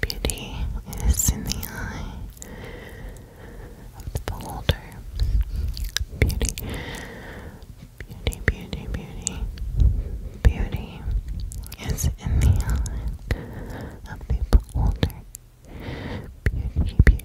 Beauty is in the eye of the beholder. Beauty, beauty, beauty, beauty. Beauty is in the eye of the beholder. Beauty, beauty.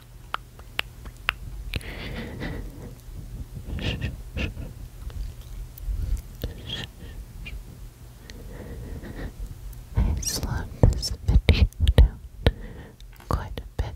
I slowed this video down quite a bit.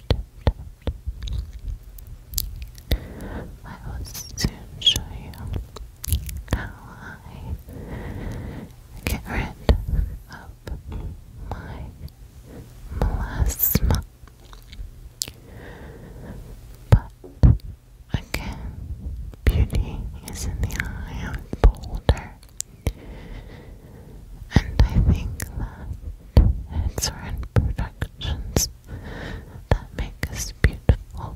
I will soon show you how I get rid of my melasma. But again, beauty is in the eye of the beholder. And I think that it's for imprudent distractions that make us beautiful.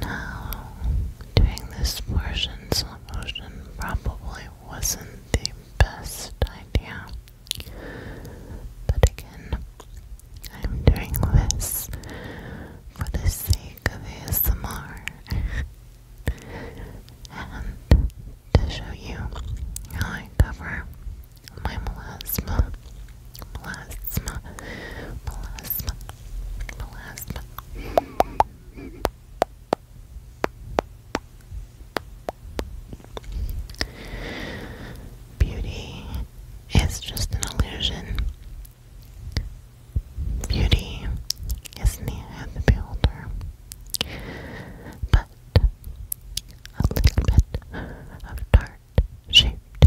Now, doing this portion slow motion probably wasn't the best idea, but again, I'm doing this for the sake of ASMR and to show you how I cover my melasma Melasma, melasma, melasma. Beauty is just an illusion. Beauty is the eye but a little bit of dark shaped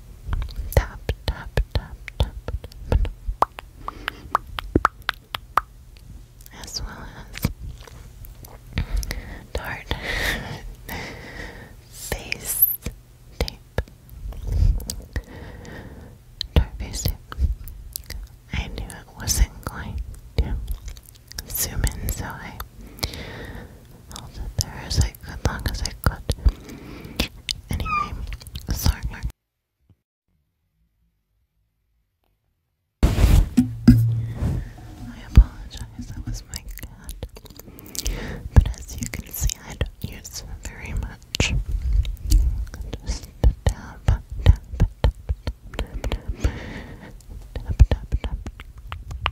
tap tap tap tap as well as Tarte face tape Tarte face tape I knew it wasn't going to zoom in so I held it there as I as long as I could. Anyway, sorry. I apologize, that was my cat. But as you can see, I don't use very much. Just tap, tap, tap, tap, tap, tap, tap, tap, tap,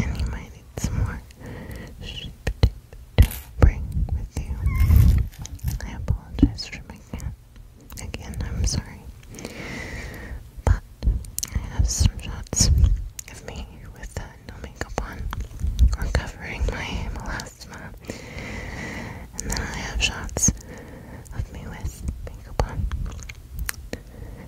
and you might need some more sheep to bring with you. I apologize for making it. Again, I'm sorry. But I have some shots of me with uh, no makeup on, or my melasma. And then I have shots of me with makeup on.